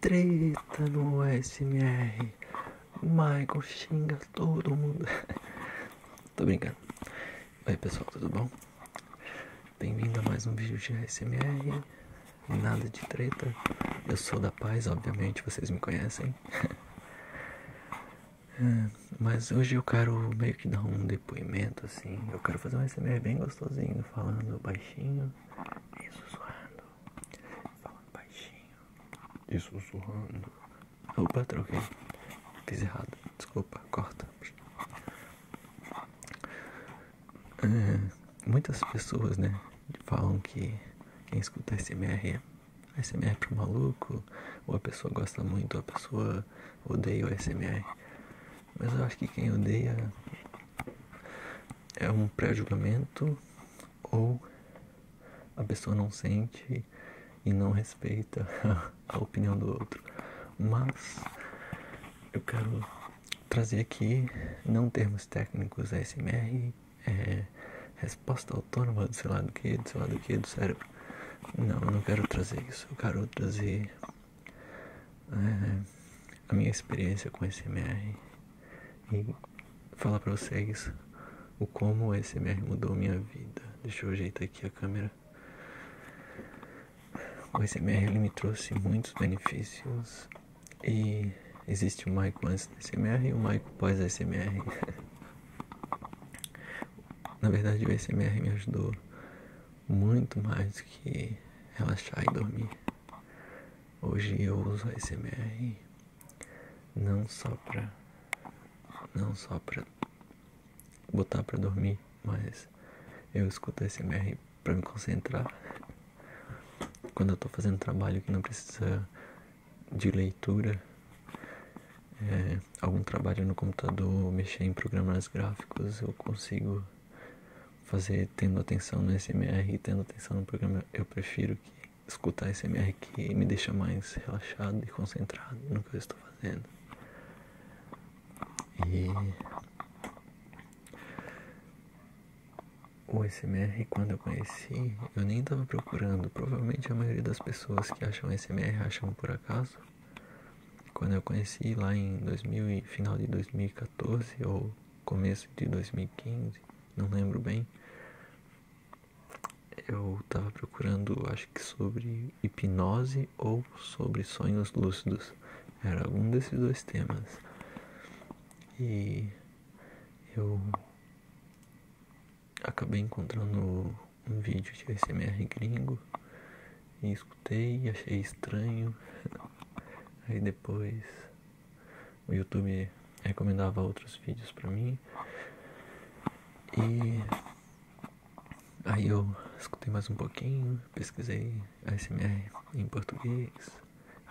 Treta no SMR. Michael xinga todo mundo. Tô brincando. Oi pessoal, tudo bom? Bem-vindo a mais um vídeo de ASMR. Nada de treta. Eu sou da paz, obviamente, vocês me conhecem. É. Mas hoje eu quero meio que dar um depoimento assim. Eu quero fazer um SMR bem gostosinho, falando baixinho e sussurrando. Falando baixinho e sussurrando. Opa, troquei. Fiz errado. Desculpa, corta. É, muitas pessoas, né, falam que quem escuta SMR é SMR pro maluco, ou a pessoa gosta muito, ou a pessoa odeio SMR. Mas eu acho que quem odeia é um pré-julgamento ou a pessoa não sente e não respeita a opinião do outro. Mas eu quero trazer aqui, não termos técnicos SMR, é, resposta autônoma do sei lá do que, do sei do que, do cérebro. Não, eu não quero trazer isso. Eu quero trazer é, a minha experiência com o SMR e falar para vocês o como o SMR mudou minha vida. Deixa eu ajeitar aqui a câmera. O SMR ele me trouxe muitos benefícios e existe o Maico antes do SMR e o Maico pós SMR. Na verdade, o SMR me ajudou muito mais do que relaxar e dormir. Hoje eu uso a SMR não só para não só para botar para dormir, mas eu escuto a SMR para me concentrar. Quando eu estou fazendo trabalho que não precisa de leitura, é, algum trabalho no computador, mexer em programas gráficos, eu consigo fazer tendo atenção no SMR e tendo atenção no programa. Eu prefiro que escutar SMR que me deixa mais relaxado e concentrado no que eu estou fazendo. E o SMR, quando eu conheci, eu nem estava procurando. Provavelmente a maioria das pessoas que acham SMR acham por acaso. Quando eu conheci lá em final de 2014 ou começo de 2015, não lembro bem, eu estava procurando, acho que sobre hipnose ou sobre sonhos lúcidos. Era algum desses dois temas. E eu acabei encontrando um vídeo de ASMR gringo e escutei, achei estranho. Aí depois o YouTube recomendava outros vídeos pra mim. E aí eu escutei mais um pouquinho, pesquisei ASMR em português,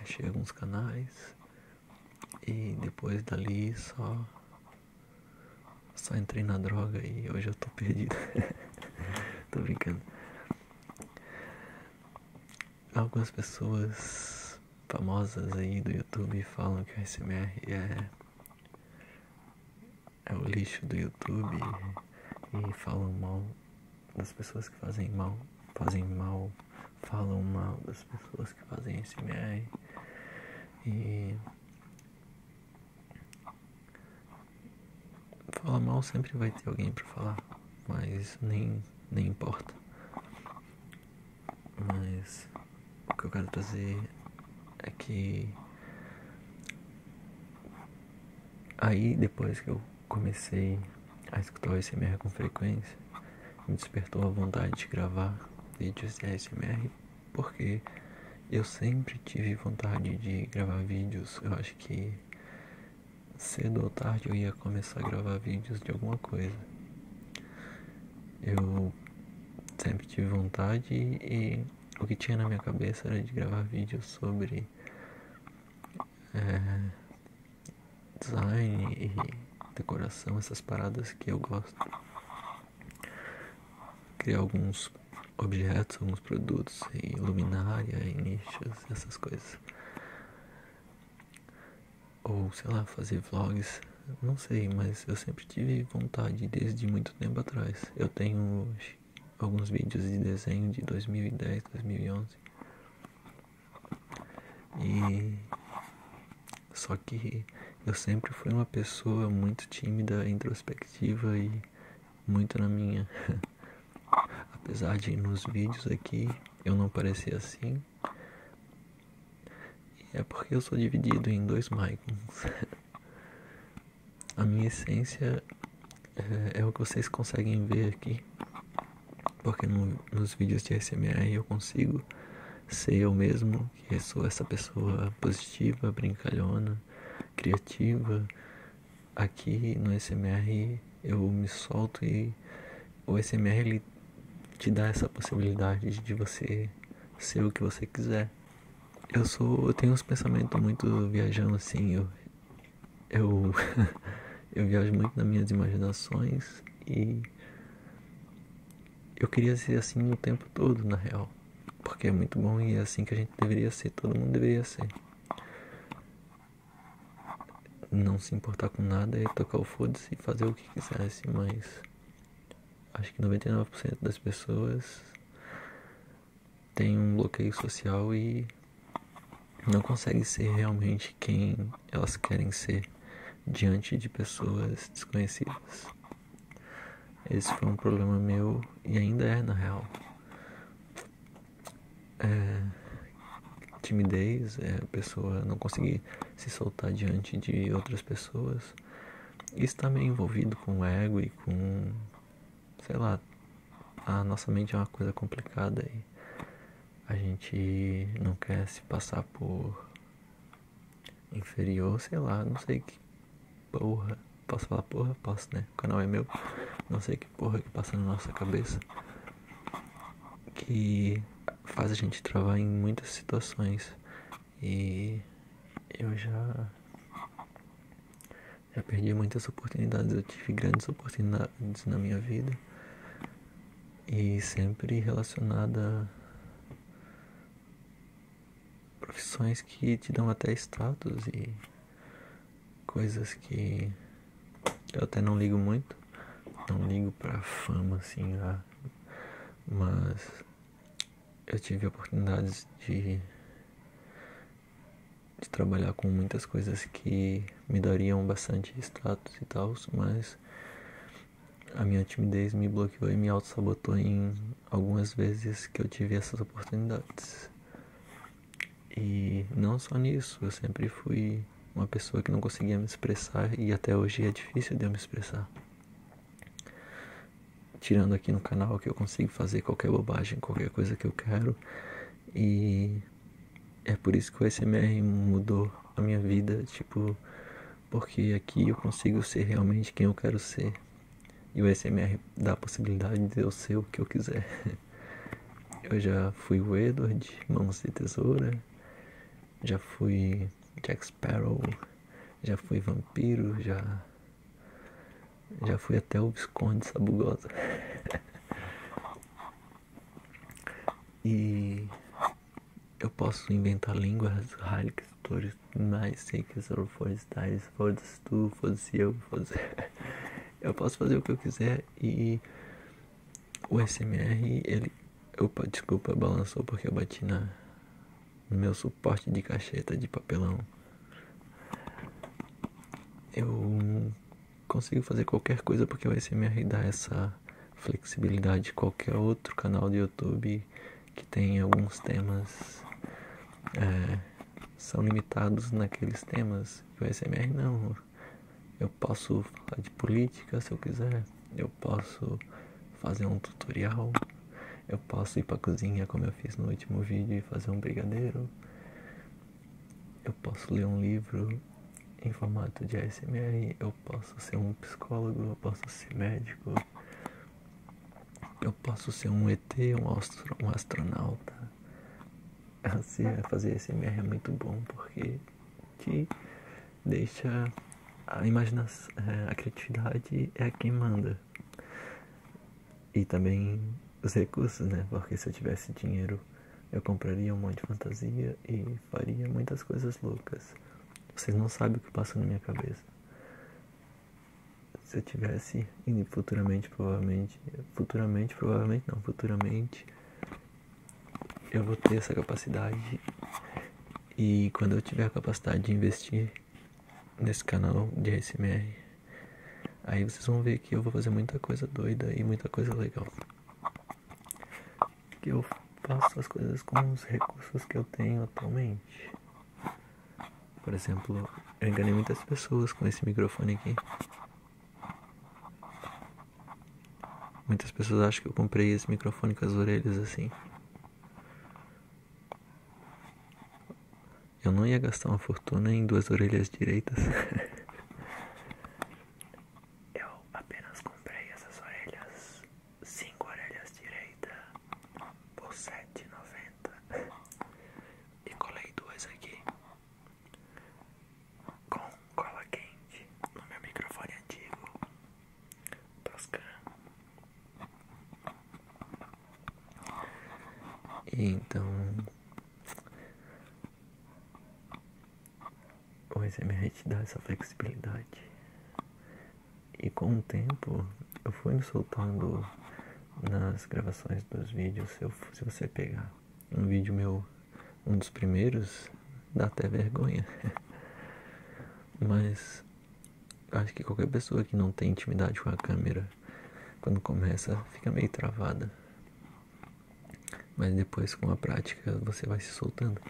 achei alguns canais e depois dali só só entrei na droga e hoje eu tô perdido. tô brincando. Algumas pessoas famosas aí do YouTube falam que o SMR é, é o lixo do YouTube e falam mal das pessoas que fazem mal, fazem mal, falam mal das pessoas que fazem SMR e Falar mal sempre vai ter alguém para falar, mas isso nem, nem importa. Mas o que eu quero trazer é que aí depois que eu comecei a escutar o ASMR com frequência, me despertou a vontade de gravar vídeos de ASMR porque eu sempre tive vontade de gravar vídeos. Eu acho que cedo ou tarde eu ia começar a gravar vídeos de alguma coisa. Eu sempre tive vontade e o que tinha na minha cabeça era de gravar vídeos sobre é, design e decoração, essas paradas que eu gosto criar alguns objetos, alguns produtos em luminária, em nichos, essas coisas. Ou sei lá, fazer vlogs, não sei, mas eu sempre tive vontade desde muito tempo atrás. Eu tenho alguns vídeos de desenho de 2010, 2011. E só que eu sempre fui uma pessoa muito tímida, introspectiva e muito na minha. Apesar de nos vídeos aqui eu não parecer assim. É porque eu sou dividido em dois Michaels. A minha essência eh, é, o que vocês conseguem ver aqui. Porque nos vídeos de SMR eu consigo ser eu mesmo, que sou essa pessoa positiva, brincalhona, criativa. Aqui no SMR eu me solto e o SMR ele te dá essa possibilidade de você ser o que você quiser. Eu sou, eu tenho uns pensamentos muito viajando assim, eu eu eu viajo muito nas minhas imaginações e eu queria ser assim o tempo todo, na real. Porque é muito bom e é assim que a gente deveria ser, todo mundo deveria ser. Não se importar com nada e é tocar o foda-se e fazer o que quisesse, mas acho que 99% das pessoas tem um bloqueio social e não consegue ser realmente quem elas querem ser diante de pessoas desconhecidas. Esse foi um problema meu e ainda é na real. É timidez, é a pessoa não conseguir se soltar diante de outras pessoas. Isso também tá meio envolvido com o ego e com, sei lá, a nossa mente é uma coisa complicada e a gente não quer se passar por inferior, sei lá, não sei que porra. Posso falar porra? Posso, né? O canal é meu. Não sei que porra que passa na nossa cabeça. Que faz a gente travar em muitas situações. E eu já. Já perdi muitas oportunidades. Eu tive grandes oportunidades na minha vida. E sempre relacionada profissões que te dão até status e coisas que eu até não ligo muito. Não ligo pra fama, assim, ah, mas eu tive oportunidades de, trabalhar com muitas coisas que me dariam bastante status e tal, mas a minha timidez me bloqueou e me auto-sabotou em algumas vezes que eu tive essas oportunidades. E não só nisso, eu sempre fui uma pessoa que não conseguia me expressar e até hoje é difícil de eu me expressar. Tirando aqui no canal que eu consigo fazer qualquer bobagem, qualquer coisa que eu quero. E é por isso que o SMR mudou a minha vida, tipo, porque aqui eu consigo ser realmente quem eu quero ser. E o SMR dá a possibilidade de eu ser o que eu quiser. Eu já fui o Edward, Mãos de Tesoura, já fui Jack Sparrow, já fui vampiro, já já fui até o Visconde Sabugosa. e eu posso inventar línguas, ralhas, mas sem que sou forestais, foda-se tu, foda-se eu, foda-se. eu posso fazer o que eu quiser e o SMR, ele. Opa, desculpa, balançou porque eu bati na no meu suporte de cacheta de papelão. Eu consigo fazer qualquer coisa porque o SMR dá essa flexibilidade. Qualquer outro canal do YouTube que, tem alguns temas é, são limitados naqueles temas. E o ASMR não. Eu posso falar de política se eu quiser. Eu posso fazer um tutorial. Eu posso ir pra cozinha como eu fiz no último vídeo e fazer um brigadeiro. Eu posso ler um livro em formato de ASMR. Eu posso ser um psicólogo. Eu posso ser médico. Eu posso ser um ET, um, astro, um astronauta. Assim, fazer SMR é muito bom porque te deixa a imaginação, é, a criatividade é quem manda. E também os recursos, né? Porque se eu tivesse dinheiro, eu compraria um monte de fantasia e faria muitas coisas loucas. Vocês não sabem o que passa na minha cabeça se eu tivesse e futuramente provavelmente futuramente provavelmente não futuramente eu vou ter essa capacidade e quando eu tiver a capacidade de investir nesse canal de ASMR aí vocês vão ver que eu vou fazer muita coisa doida e muita coisa legal que eu faço as coisas com os recursos que eu tenho atualmente por exemplo, eu enganei muitas pessoas com esse microfone aqui. Muitas pessoas acham que eu comprei esse microfone com as orelhas assim. Eu não ia gastar uma fortuna em duas orelhas direitas. eu apenas comprei essas orelhas cinco orelhas direita por sete noventa e colei duas aqui com cola quente no meu microfone antigo Toscana e então o SMR te dá essa flexibilidade e com o tempo eu fui me soltando nas gravações dos vídeos. Se, você pegar um vídeo meu, um dos primeiros, dá até vergonha. Mas acho que qualquer pessoa que não tem intimidade com a câmera, quando começa, fica meio travada. Mas depois, com a prática, você vai se soltando.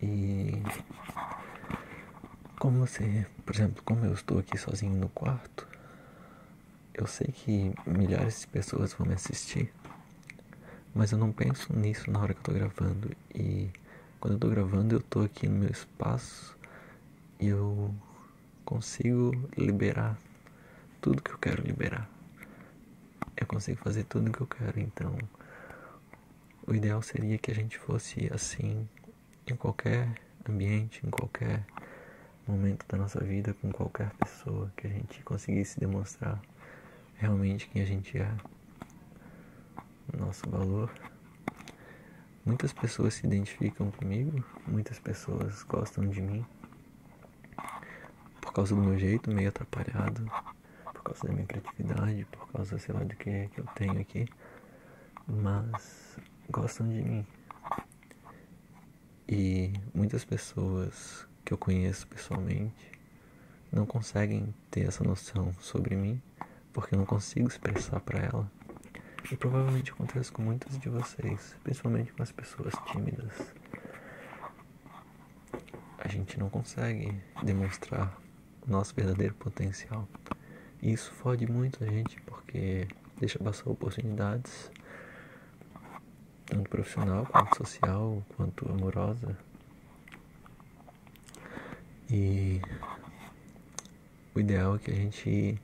E como você, por exemplo, como eu estou aqui sozinho no quarto, eu sei que milhares de pessoas vão me assistir, mas eu não penso nisso na hora que eu estou gravando. E quando eu estou gravando, eu estou aqui no meu espaço e eu consigo liberar tudo que eu quero liberar. Eu consigo fazer tudo que eu quero, então o ideal seria que a gente fosse assim em qualquer ambiente, em qualquer momento da nossa vida, com qualquer pessoa, que a gente conseguisse demonstrar realmente quem a gente é, nosso valor. Muitas pessoas se identificam comigo, muitas pessoas gostam de mim por causa do meu jeito meio atrapalhado, por causa da minha criatividade, por causa sei lá do que é que eu tenho aqui mas gostam de mim. E muitas pessoas que eu conheço pessoalmente não conseguem ter essa noção sobre mim porque eu não consigo expressar para ela. E provavelmente acontece com muitas de vocês, principalmente com as pessoas tímidas. A gente não consegue demonstrar nosso verdadeiro potencial. E isso fode muito a gente porque deixa passar oportunidades, tanto profissional, quanto social, quanto amorosa. E o ideal é que a gente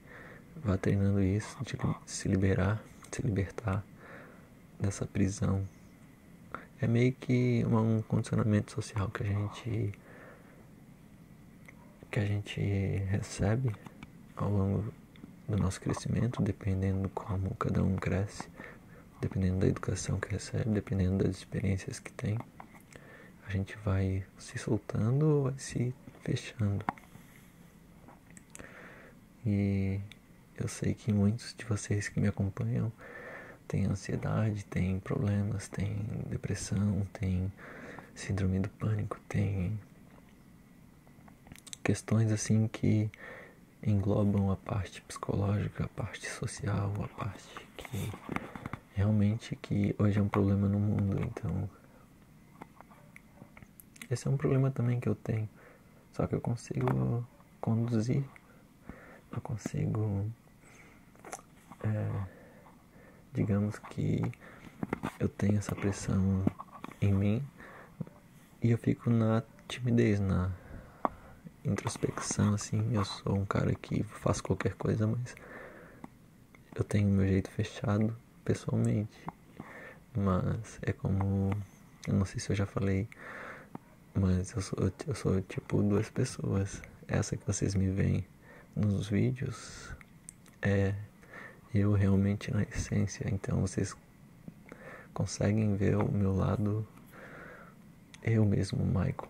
vá treinando isso, de se liberar, se libertar dessa prisão. É meio que um condicionamento social que a gente que a gente recebe ao longo do nosso crescimento, dependendo como cada um cresce, dependendo da educação que recebe, dependendo das experiências que tem, a gente vai se soltando ou vai se fechando. E eu sei que muitos de vocês que me acompanham tem ansiedade, tem problemas, tem depressão, tem síndrome do pânico, tem questões assim que englobam a parte psicológica, a parte social, a parte que realmente que hoje é um problema no mundo, então esse é um problema também que eu tenho, só que eu consigo conduzir não consigo. É, digamos que eu tenho essa pressão em mim e eu fico na timidez, na introspecção, assim. Eu sou um cara que faz qualquer coisa, mas eu tenho meu jeito fechado pessoalmente. Mas é como. Eu não sei se eu já falei, mas eu sou, eu sou tipo duas pessoas essa que vocês me veem nos vídeos, é eu realmente na essência. Então vocês conseguem ver o meu lado, eu mesmo, Michael.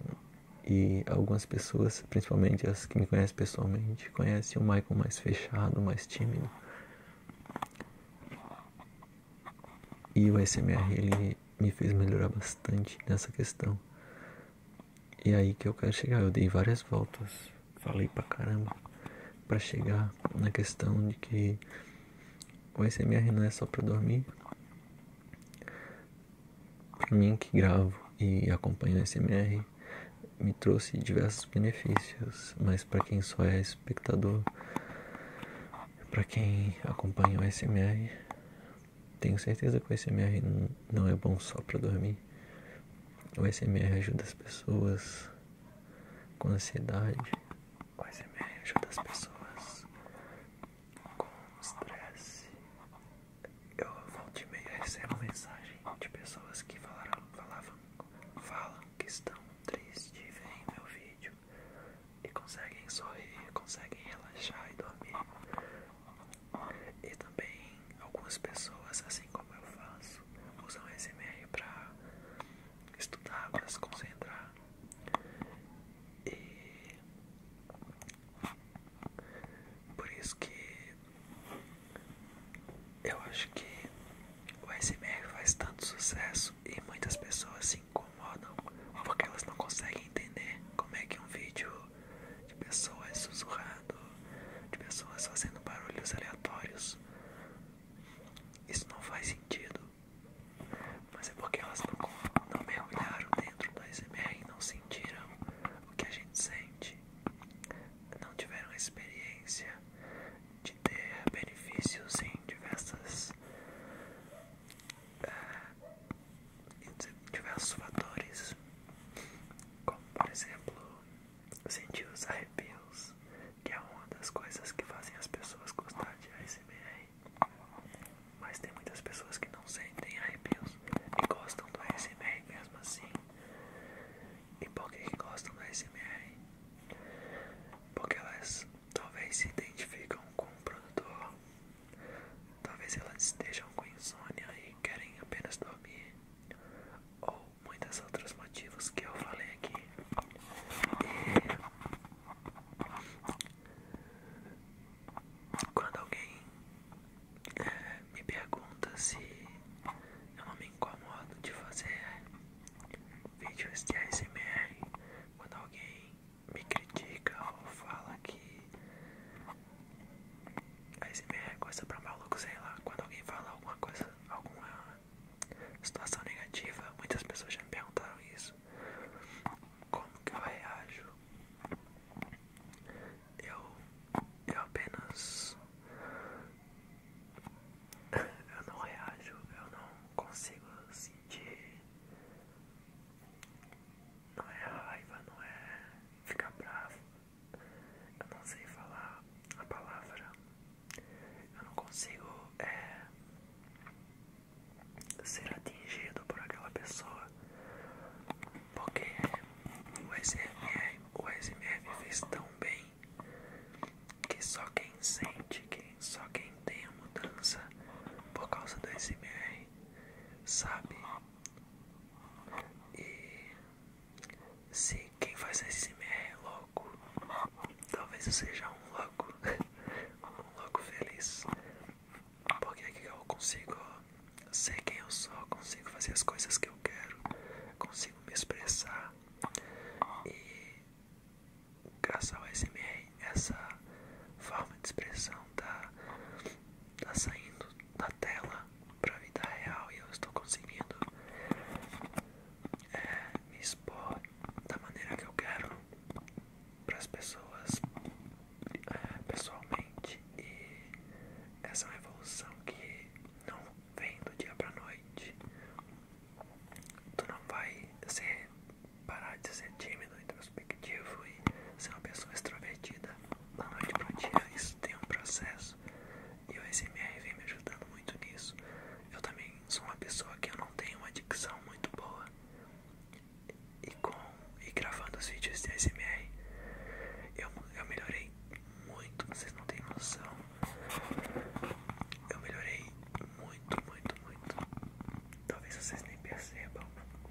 E algumas pessoas, principalmente as que me conhecem pessoalmente, conhecem o Michael mais fechado, mais tímido. E o SMR ele me fez melhorar bastante nessa questão. E é aí que eu quero chegar. Eu dei várias voltas, falei pra caramba, pra chegar na questão de que o SMR não é só pra dormir. Pra mim que gravo e acompanho o SMR, me trouxe diversos benefícios, mas para quem só é espectador, para quem acompanha o SMR, tenho certeza que o SMR não é bom só para dormir. O SMR ajuda as pessoas com ansiedade. O SMR ajuda as pessoas com estresse. Eu voltei meia a receber uma mensagem de pessoas que falaram, falavam, falam que estão tristes e veem meu vídeo e conseguem sorrir, conseguem relaxar e dormir. E também algumas pessoas, assim como eu faço, usam o SMR para estudar, para se concentrar. E por isso que eu acho que o SMR faz tanto sucesso e muitas pessoas se incomodam porque elas não conseguem entender como é que um vídeo de pessoas sussurrando, de pessoas fazendo barulhos aleatórios. Isso não faz sentido, mas é porque elas não, mergulharam dentro da SMR e não sentiram o que a gente sente, não tiveram experiência de ter benefícios em diversas diversos fatores, como por exemplo, sentir os arrepios, que é uma das coisas que fazem as pessoas gostar de ASMR. Mas tem muitas pessoas que não sentem arrepios e gostam do ASMR mesmo assim. E por que gostam do ASMR? Porque elas talvez se identificam com um produtor Talvez elas estejam com insônia e querem apenas dormir, ou muitos outros motivos que eu falei aqui. quando alguém eh, me pergunta se eu não me incomodo de fazer vídeos de ASMR, quando alguém me critica ou fala que a SMR é coisa pra maluco, sei lá. Quando alguém fala alguma coisa, alguma situação negativa, muitas pessoas já me perguntaram isso. Como que eu reajo? Eu, eu apenas. Eu não reajo, eu não consigo sentir não é raiva, não é ficar bravo. Eu não sei falar a palavra. Eu não consigo é, ser atingido por aquela pessoa. Porque o SMR, o SMR fez tão bem que só quem sente, quem, só quem tem a mudança por causa do SMR sabe? E se quem faz SMR é louco, talvez eu seja um louco, um louco feliz, porque aqui eu consigo ser quem eu sou, consigo fazer as coisas que eu quero, consigo me expressar e graças ao SMR essa forma de expressão tá, tá saindo da tela para a vida real e eu estou conseguindo é, me expor da maneira que eu quero para as pessoas é, pessoalmente e essa é uma evolução que não vem do dia para noite tu não vai ser parar de ser tímido, introspectivo e ser uma pessoa extrovertida da noite para o dia. Isso tem um processo e o SMR vem me ajudando muito nisso. Eu também sou uma pessoa que não tem uma dicção muito boa e, com, e gravando os vídeos de SMR eu, eu melhorei muito, vocês não têm noção. Eu melhorei muito, muito, muito. Talvez vocês nem percebam,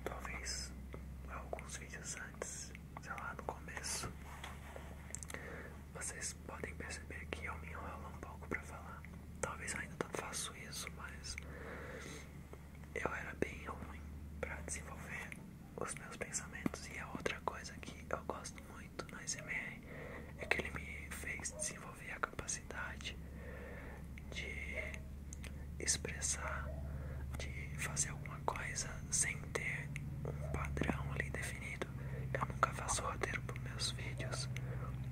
talvez alguns vídeos antes, sei lá, no começo, vocês podem perceber que eu me enrolo um pouco para falar. Talvez eu ainda não faço isso, mas eu era bem ruim para desenvolver os meus pensamentos. E a é outra coisa que eu gosto muito na SMR é que ele me fez desenvolver a capacidade capacidade de expressar, de fazer alguma coisa sem ter um padrão ali definido. Eu nunca faço roteiro para meus vídeos.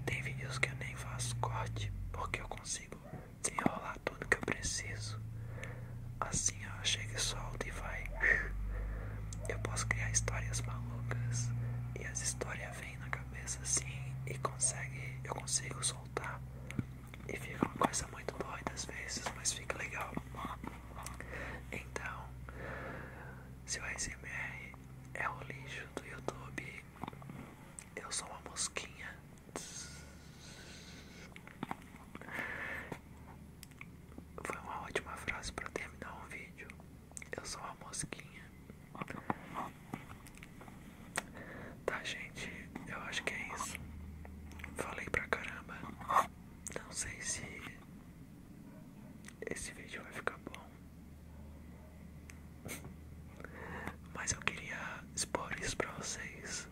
Tem vídeos que eu nem faço corte porque eu consigo desenrolar tudo que eu preciso. Assim ó, chega e solta e vai. Eu posso criar histórias malucas e as histórias vêm na cabeça assim e consegue, eu consigo soltar e fica uma coisa muito doida das vezes, mas fica legal. Então, se o smr é o lixo do YouTube, eu sou uma mosquinha. Foi uma ótima frase para terminar um vídeo. Eu sou uma mosquinha. Tá, gente, eu acho que é isso. Falei pra caramba. Não sei se esse vídeo vai ficar bom. Mas eu queria expor isso pra vocês.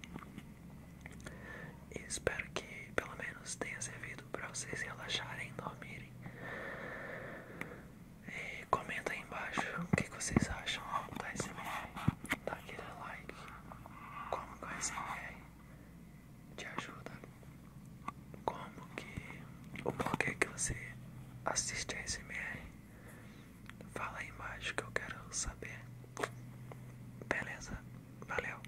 espero que pelo menos tenha servido pra vocês relaxarem e dormirem. E comenta aí embaixo o que, vocês acham da SMR. Dá aquele like. Como que a SMR te ajuda? Como que. O porquê que você assiste a SMR? Fala aí embaixo que eu quero saber. Beleza? Valeu!